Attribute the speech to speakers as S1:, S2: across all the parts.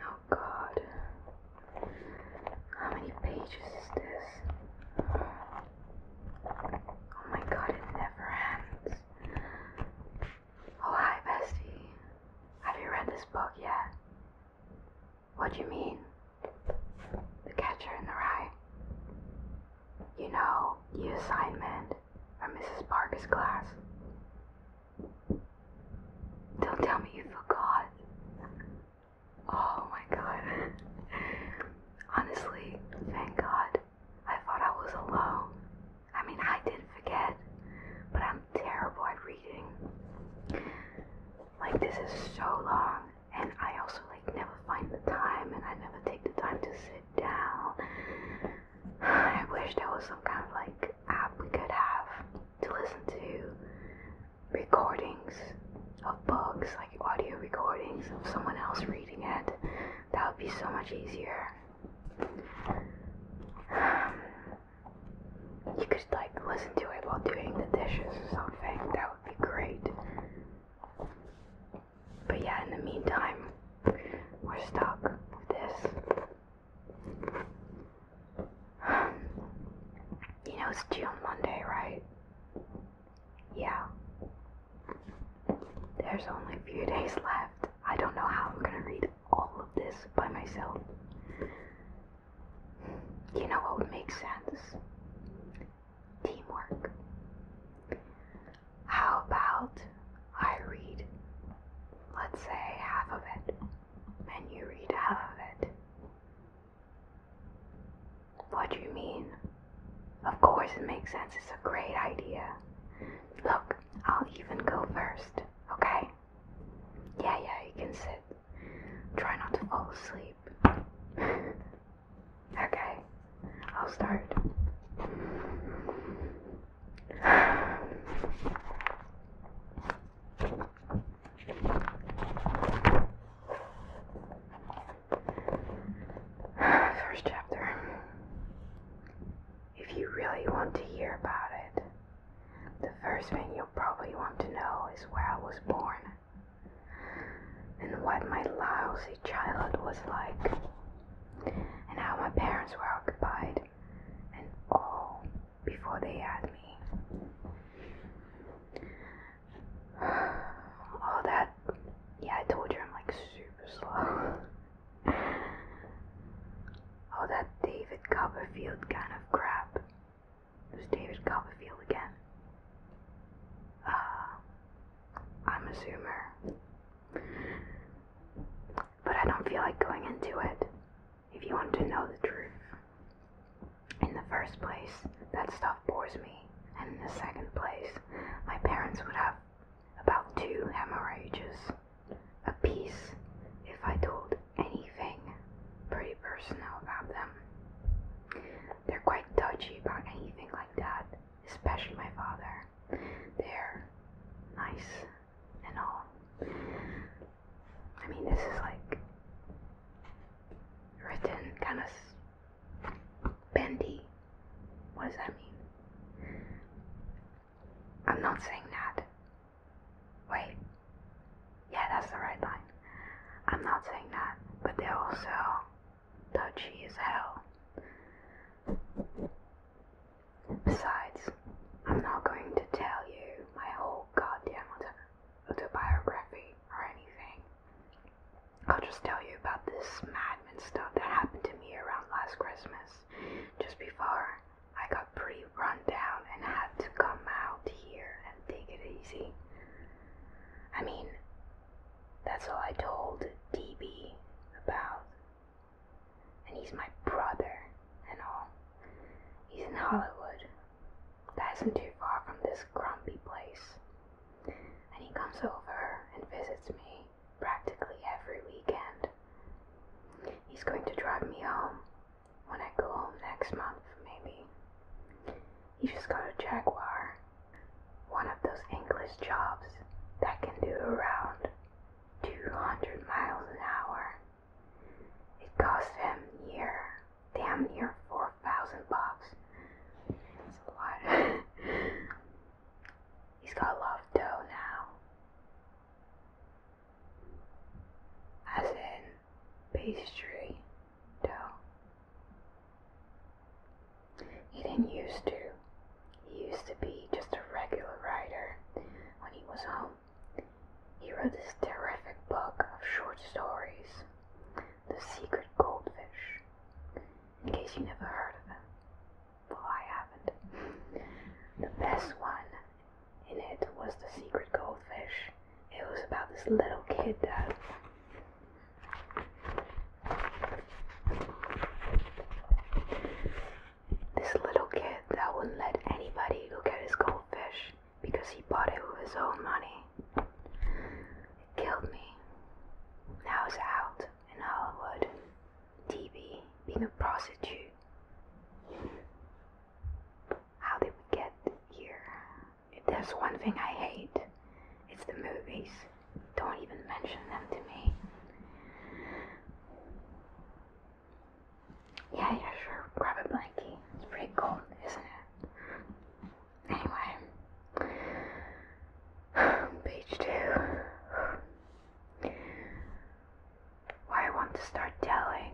S1: Oh god. How many pages is this? Oh my god, it never ends. Oh hi bestie. Have you read this book yet? What do you mean? The Catcher in the Rye. You know, the assignment from Mrs. Parker's class. Don't tell me you forgot. Oh my god. Honestly, thank God. I thought I was alone. I mean, I did forget, but I'm terrible at reading. Like, this is so long, and I also, like, never find the time, and I never take the time to sit down. I wish there was some kind of, like, app we could have to listen to recordings of books, like audio recordings of someone else reading it. That would be so much easier. Um, you could like listen to it while doing the dishes or something. That would be great. But yeah, in the meantime, we're stuck with this. You know it's due on Monday, right? Yeah. There's only a few days left. I don't know how I'm gonna read all of this by myself. You know what would make sense? Teamwork. How about I read, let's say, half of it? and you read out of it. What do you mean? Of course it makes sense. It's a great idea. Look, I'll even go first, okay? Yeah, yeah, you can sit. Try not to fall asleep. okay, I'll start. First chapter. If you really want to hear about it, the first thing you'll probably want to know is where I was born and what my lousy childhood was like, and how my parents were occupied, and all before they had me. All that, yeah, I told you I'm like super slow. All that David Copperfield kind of crap. It was David Copperfield again. Uh, I'm a zoomer. But I don't feel like going into it if you want to know the truth. In the first place, that stuff bores me, and in the second place, my parents would have about two hemorrhages a piece if I told anything pretty personal about them. They're quite touchy about anything like that, especially my father. They're nice and all. I mean, this is like written kind of bendy. What does that mean? I'm not saying that. Wait. Yeah, that's the right line. I'm not saying that, but they're also touchy as hell. Besides, I'm not going to tell you my whole goddamn autobiography or anything. I'll just tell you about this madman stuff that happened to me around last Christmas, just before I got pretty run down and had to come out here and take it easy. I mean, that's all I told DB about, and he's my brother and all. He's in Hollywood. That isn't too far from this grumpy place. And he comes over and visits me practically every weekend. He's going to drive me home when I go home next month, maybe. He just got a Jaguar, one of those English jobs that can do around 200 miles an hour. It cost him near, damn near 4,000 bucks. That's a lot. He's got a lot of dough now. As in pastry dough. He didn't used to. He used to be just a regular writer when he was home he wrote this terrific book of short stories, The Secret Goldfish, in case you never heard of him. Well, I haven't. The best one in it was The Secret Goldfish. It was about this little kid that this little kid that wouldn't let anybody look at his goldfish because he bought it with his own money. It killed me. Now it's out in Hollywood. TV being a prostitute. How did we get here? If there's one thing I hate, it's the movies. Don't even mention them to me. Yeah, yeah, sure. Grab a blankie. It's pretty cold, isn't it? Anyway, page two. Why I want to start telling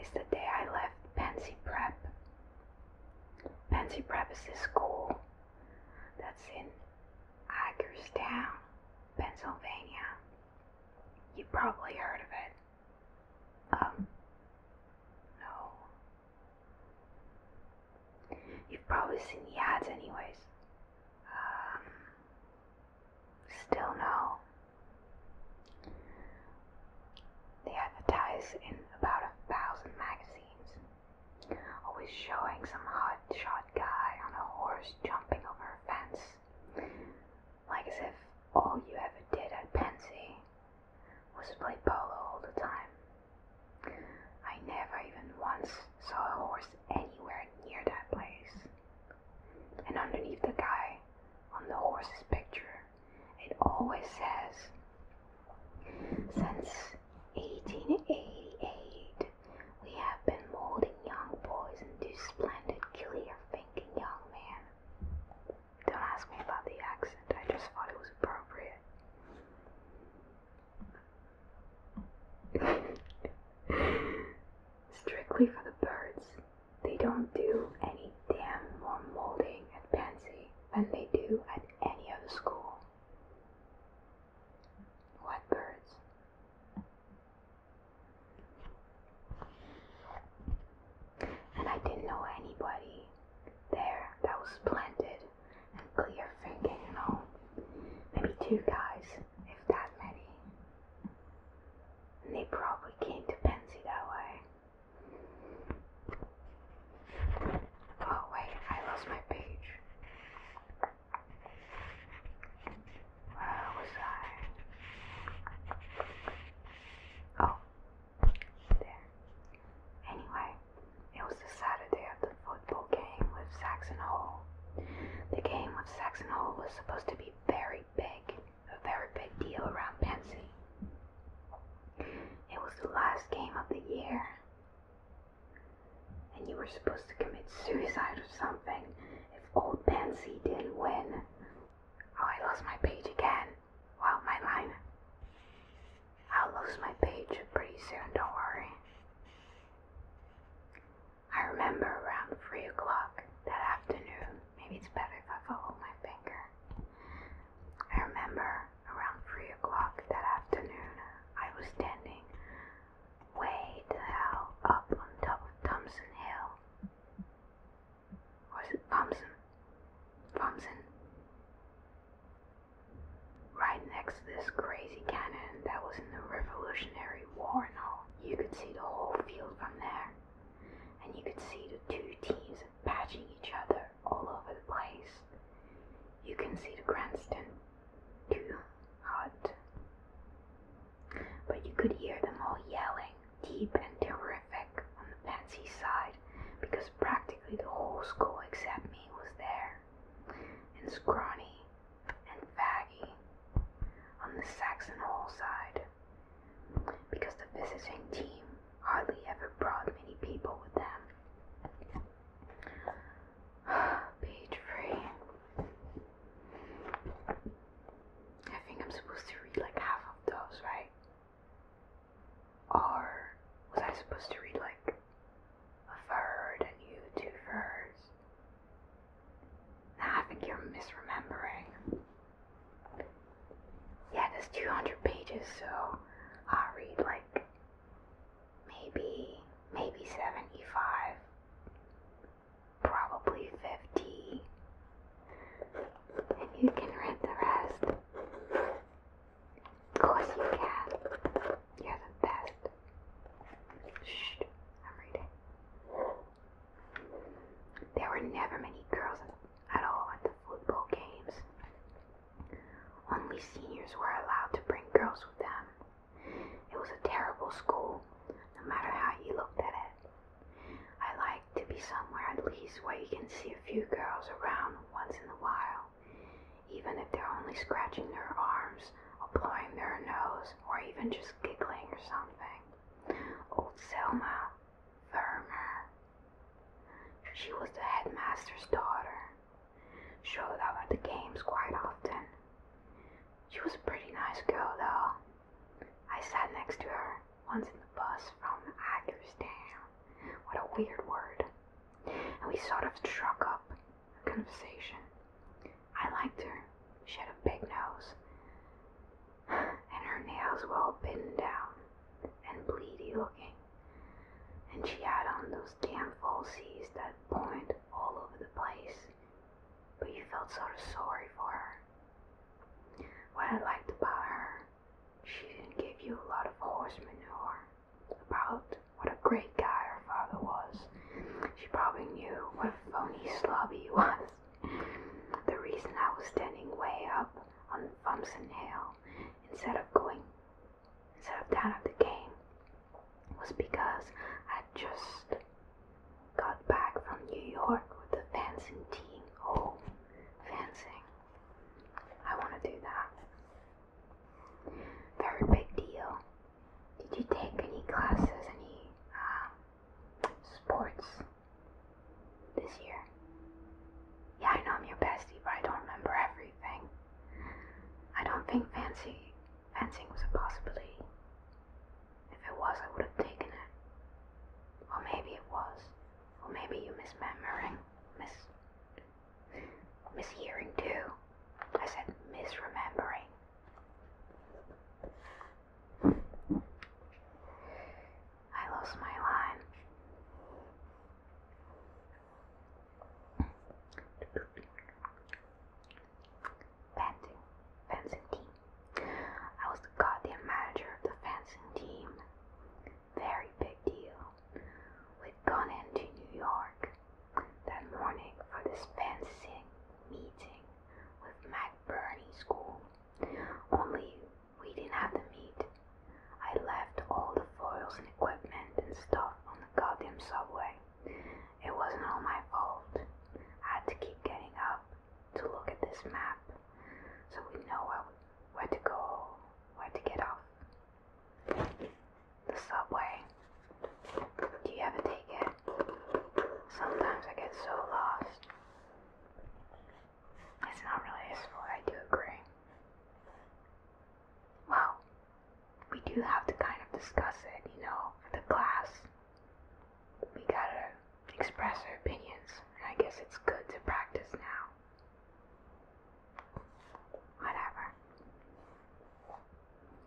S1: is the day I left Pansy Prep. Pansy Prep is a school that's in Hagerstown, Pennsylvania. You probably heard of it. Um, no. You've probably seen the ads, anyways. Um, still no. They advertise in about a thousand magazines, always showing some hot shot guy on a horse jumping over a fence like as if all you ever did at Pensy was play polo all the time. I never even once saw a horse anywhere near that place. And underneath the guy on the horse's picture, it always says, since 1888, we have been molding young boys into splendid killers." thinking young man. Don't ask me about the accent, I just thought it was appropriate. Strictly for the birds. They don't do any damn more molding at Pansy than they do at any other school. What birds? And I didn't know anybody there that was splendid clear thinking, you know. Maybe two guys, if that many. And they probably came to Pensy that way. Oh, wait, I lost my page. Where was I? Oh, there. Anyway, it was the Saturday of the football game with Saxon Hall. The game with Saxon Hall was supposed to be very big, a very big deal around Pensy. It was the last game of the year. And you were supposed to commit suicide or something if old Pansy didn't win. Oh, I lost my page again. Wow, my line. I'll lose my page pretty soon, don't worry. I remember around 3 o'clock that afternoon, maybe it's better if I follow my finger. I remember around 3 o'clock that afternoon, I was standing way the hell up on top of Thompson Hill or it Thompson? Thompson? Right next to this crazy cannon that was in the Revolutionary War and all. You could see the whole field from there. And you could see the two teams patching each other all over the place. You can see the grandstand too hot but you could hear them all yelling, deep and terrific, on the fancy side, because practically the whole school except me was there, and Scrawny and Faggy on the Saxon Hall side, because the visiting team hardly ever brought many people with them. Page three. I think I'm supposed to read like half of those, right? Or was I supposed to read like a third and you two thirds? I think you're misremembering. Yeah, there's 200 pages, so I'll read like maybe, maybe 75 probably 50. And you can rent the rest. Of course you can. You're the best. Shh, i There were never many girls at all at the football games. Only seniors were allowed to bring girls with them. It was a terrible school, no matter how you looked at it said. I like to be somewhere at least where you can see a few girls around once in a while, even if they're only scratching their arms or blowing their nose or even just giggling or something. Old Selma Vermeer, she was the headmaster's daughter, showed up at the games quite often. She was a pretty nice girl though, I sat next to her once in the bus from Hagerstown. What a weird word. And we sort of struck up a conversation. I liked her. She had a big nose. And her nails were all bitten down and bleedy looking. And she had on those damn falsies that point all over the place. But you felt sort of sorry for her her. What I liked about her, she didn't give you a lot of horse manure about what a great guy her father was. She probably knew what a phony slob he was. The reason I was standing way up on Thompson Hill instead of going instead of down at the game was because I just Got back from New York with the fencing team. Oh, fencing. I want to do that. Very big deal. Did you take any classes, any um, sports this year? Yeah, I know I'm your bestie, but I don't remember everything. I don't think fancy fencing was a possibility. If it was, I would have taken it. Or maybe it was. Or maybe you misremembering. Mis. mishearing too. I said misremembering. I lost my line fencing, fencing team. I was the goddamn manager of the fencing team. Very big deal. We'd gone into New York that morning for this fencing meeting with McBurney School. Only we didn't have the meet. I left all the foils and equipment and stuff on the goddamn subway. It wasn't all my fault. I had to keep getting up to look at this map so we know where to go, where to get off. The subway. Do you ever take it? Sometimes I get so lost. It's not really useful, I do agree. Well, we do have to kind of discuss it, you know, for the class we gotta express our opinions, I guess it's good to practice now. Whatever.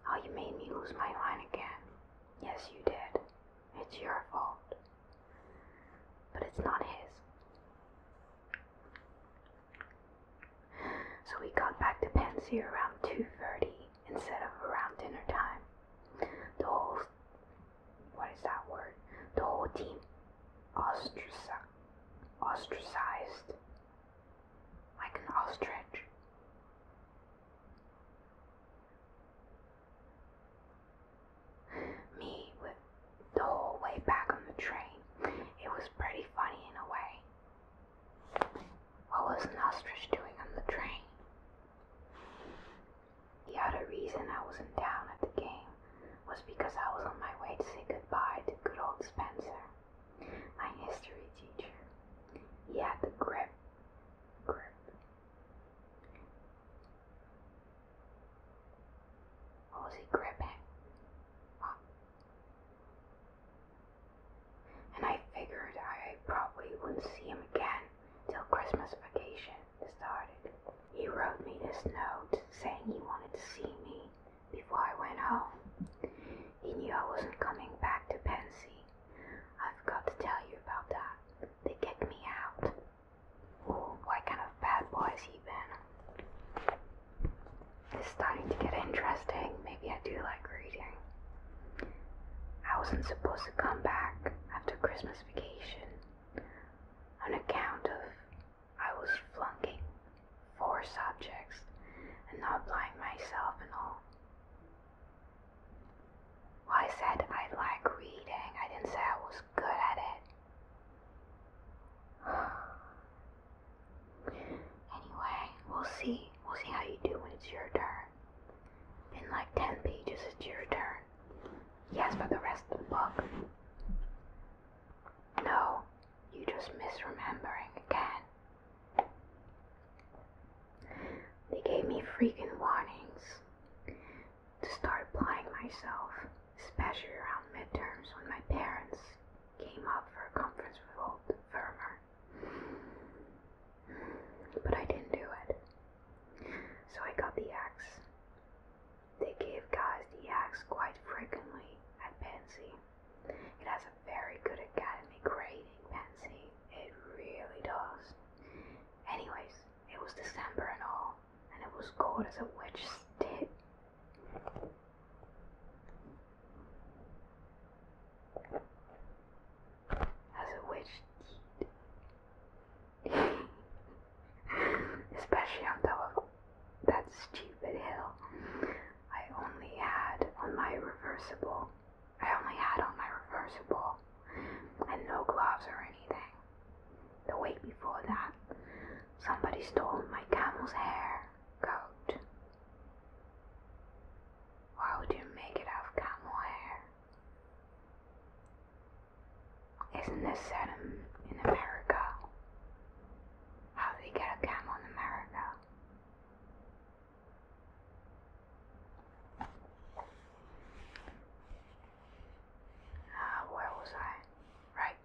S1: Oh, you made me lose my line again. Yes, you did. It's your fault. But it's not his. So we got back to Pensy around 2.30 instead of around dinner time. The whole, what is that word? The whole team ostracized like an ostrich. Me with the whole way back on the train. It was pretty funny in a way. What was an ostrich doing on the train? The other reason I wasn't down at the game was because I was on my way to say goodbye to good old Spencer, my history teacher. He had the grip, grip. What was he gripping? Well, and I figured I probably wouldn't see him again till Christmas vacation started. He wrote me this note saying he wanted to see me before I went home. He knew I wasn't coming back to Pensy. I've got to tell you about that. They kicked me out. Ooh, what kind of bad boy has he been? It's starting to get interesting. Maybe I do like reading. I wasn't supposed to come back after Christmas vacation on account of I was flunking four subjects and not blind myself and all. I said I like reading, I didn't say I was good at it. Anyway, we'll see. We'll see how you do when it's your turn. In like 10 pages, it's your turn. Yes, but the rest of the book. No, you just misremembering again. They gave me freaking warnings to start applying myself, especially around midterms when my parents came up for a conference with old Vermeer. But I didn't do it. So I got the axe. They gave guys the axe quite frequently at Pensy. It has a very good academy grading, Pensy. It really does. Anyways, it was December and all, and it was cold as a witch's tit as a witch did. Especially on top of that stupid hill. I only had on my reversible. I only had on my reversible and no gloves or anything. The week before that, somebody stole my camel's hair coat. Why would you make it of camel hair? Isn't this set in, America? How do they get a camel in America? Uh, where was I? Right,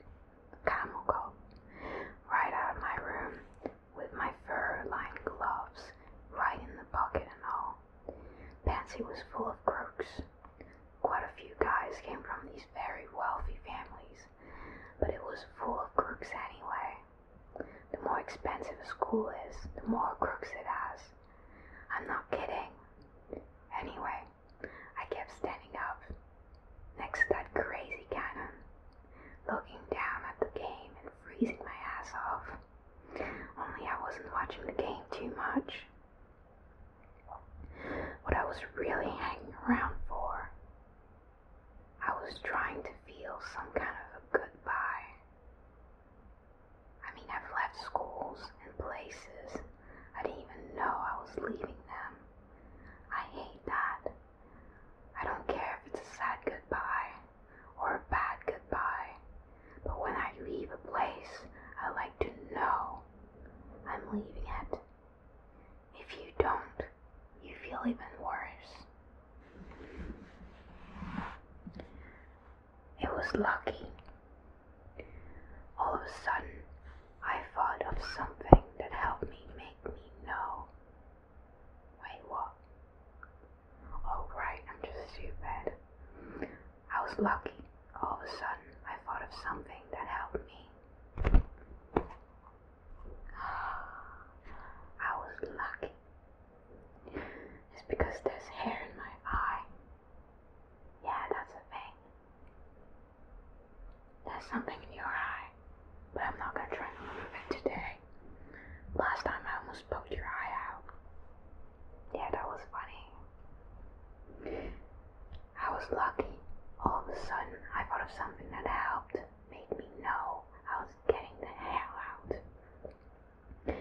S1: camel coat. Right out of my room with my fur lined gloves, right in the pocket and all all. was full of crooks. Quite a few guys came from these very wealthy families, but it was full of crooks anyway. The more expensive a school is, the more crooks it has. I'm not kidding. Anyway, I kept standing up next to that crazy cannon, looking down at the game and freezing my ass off. Only I wasn't watching the game too much. What I was really hanging around for, I was trying to feel some kind of a goodbye. I mean, I've left schools and places I didn't even know I was leaving them. I hate that. I don't care if it's a sad goodbye or a bad goodbye. But when I leave a place, I like to know I'm leaving it. If you don't, you feel even worse. It was lucky. All of a sudden, I thought of something that helped me make me know. Wait, what? Oh, I'm just stupid. I was lucky. All of a sudden, I thought of something that helped me. I was lucky. It's because there's hair in my eye. Yeah, that's a thing. There's something in your eye, but I'm not gonna try to remove it today. Last time I almost poked your eye out. Yeah, that was funny. I was lucky. All of a sudden, I thought of something that helped made me know I was getting the hell out.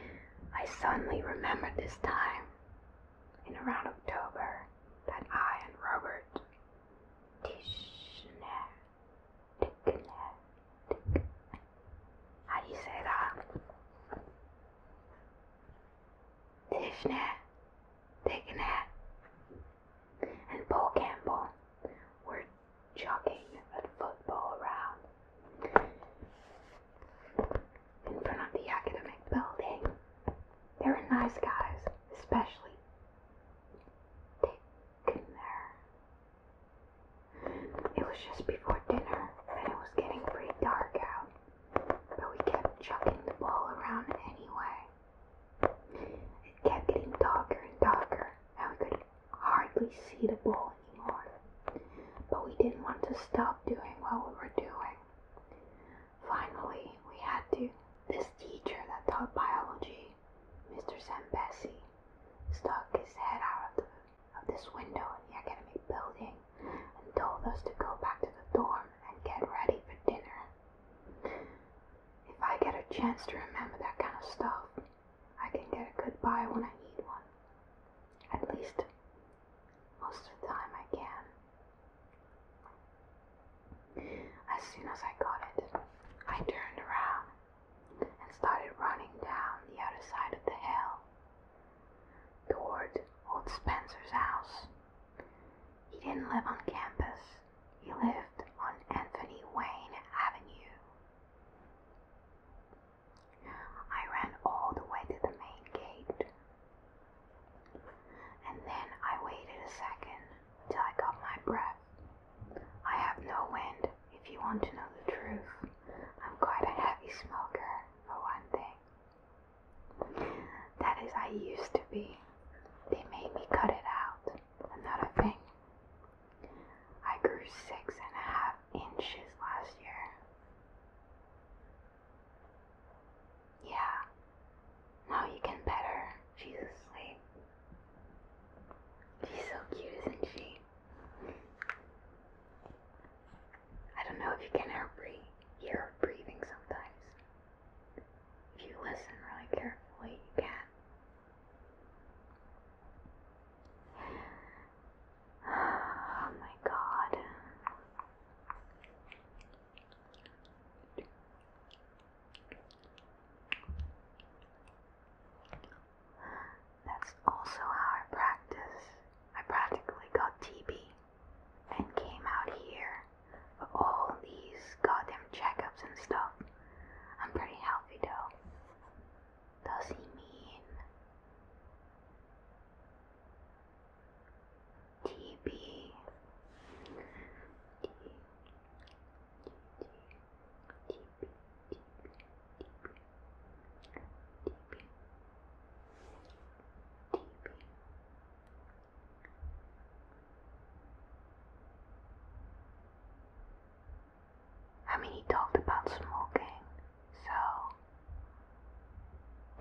S1: I suddenly remembered this time, in around October, that I and Robert how do you say that? Tiffany, Tiffany, and Paul Campbell were jogging a football around in front of the academic building. They are nice guys, especially Dick it was just before dinner and it was getting pretty dark out, but we kept chucking the ball around anyway. It kept getting darker and darker, and we could hardly see the ball anymore. But we didn't want to stop doing what we were doing. Finally, we had to. This teacher that taught biology, Mr. Sambesi, stuck his head out of this window in the academy building and told us to go back to the dorm and get ready for dinner. If I get a chance to remember that kind of stuff, I can get a goodbye when I need one. At least, most of the time I can. As soon as I got it, I turned around and started running down the other side of the hill toward old Spencer's house. He didn't live on campus, he lived on Anthony Wayne Avenue. I ran all the way to the main gate, and then I waited a second till I got my breath. I have no wind, if you want to know the truth. I'm quite a heavy smoker for one thing. That is, I used to be. They made me cut it out. Another thing. I grew six and a half inches last year. Yeah. Now you can pet her. She's asleep. She's so cute, isn't she? I don't know if you can hear breathing sometimes. If you listen really carefully, you can. Oh my god. That's also how I practice. I practically got TB and came out here for all these goddamn checkups and stuff. I'm pretty healthy though. Does he mean TB? TB. TB. TB. TB. I mean, he talked about smoking, so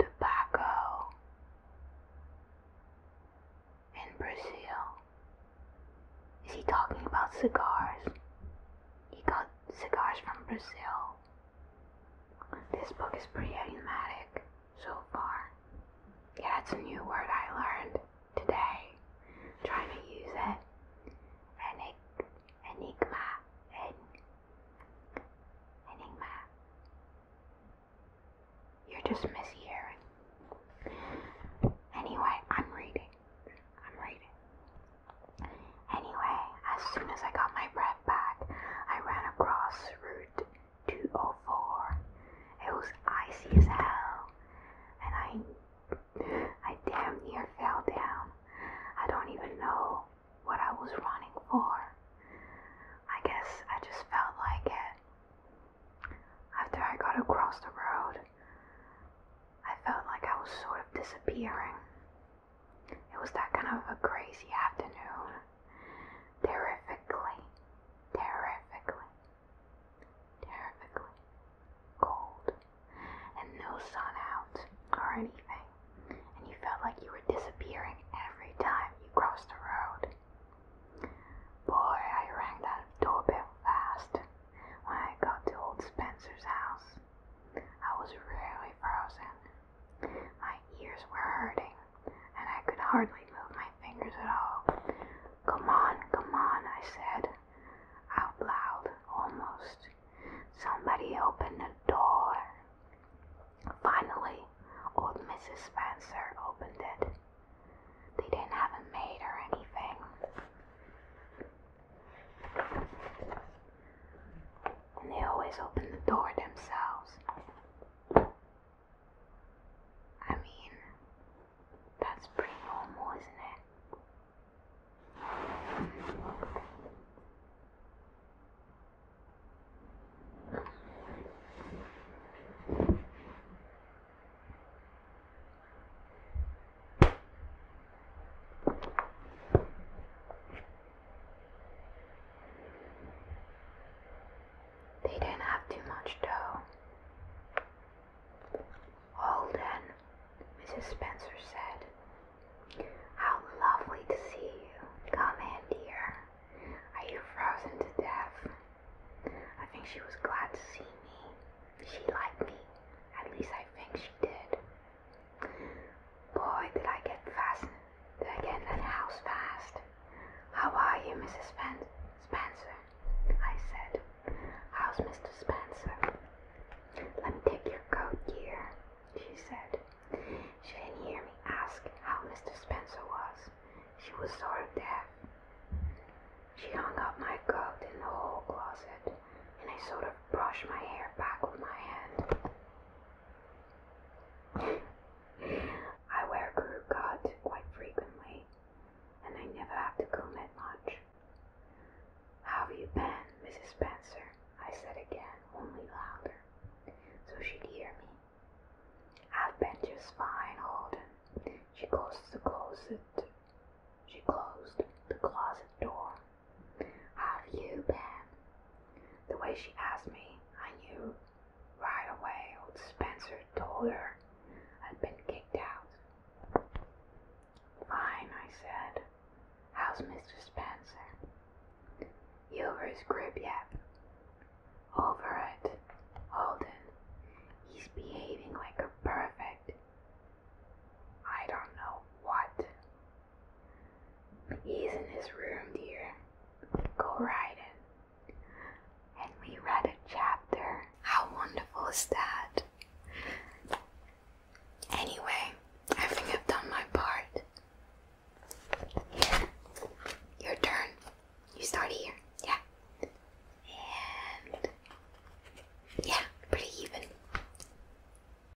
S1: tobacco in Brazil. Is he talking about cigars? He got cigars from Brazil. This book is pretty enigmatic so far. Yeah, that's a new word I learned today. trying to use it. Enig- enigma. En- enigma. You're just mishearing. Anyway, I'm reading. I'm reading. Anyway, as soon as I got my breath back, I ran across Route 204. It was icy as hell, and I, I damn near fell down. I don't even know what I was running for. I guess I just felt like it. After I got across the road, I felt like I was sort of disappearing. It was that kind of a crazy afternoon. Terrifically, terrifically, terrifically cold, and no sun out or anything. And you felt like you were disappearing every time you crossed the road. Boy, I rang that doorbell fast when I got to old Spencer's house. I was really frozen. My ears were hurting, and I could hardly move my fingers at all. Come on, come on, I said, out loud almost. Somebody opened the door. Finally, old Mrs. Spencer opened it. They didn't have a maid or anything. And they always open the door themselves. I mean, that's pretty normal, isn't it? They didn't have too much dough. Oh, Mrs. Spencer said, How lovely to see you. Come in, dear. Are you frozen to death? I think she was glad to see me. She liked me. At least I think she did. Boy, did I get fast! Did fascinated again at house fast. How are you, Mrs. Spencer? I said. How's Mr. Spencer? Let me take your coat, dear, she said. She didn't hear me ask how Mr. Spencer was. She was sort of deaf. She hung up my coat in the hall closet and I sort of brush my hair back with my hand. I wear crew cut quite frequently, and I never have to comb it much. How have you been, Mrs. Spencer? I said again, only louder, so she'd hear me. I've been just fine, Holden. She closed the closet. She closed the closet door have you been? The way she asked me, I knew right away old Spencer told her I'd been kicked out. Fine, I said. How's Mr. Spencer? You over his grip yet? Over it, Holden. He's behaving like a perfect. I don't know what He's in his room, dear. Go ride it, And we read a chapter. How wonderful is that? Anyway, I think I've done my part. your turn. You start here. Yeah. And yeah, pretty even.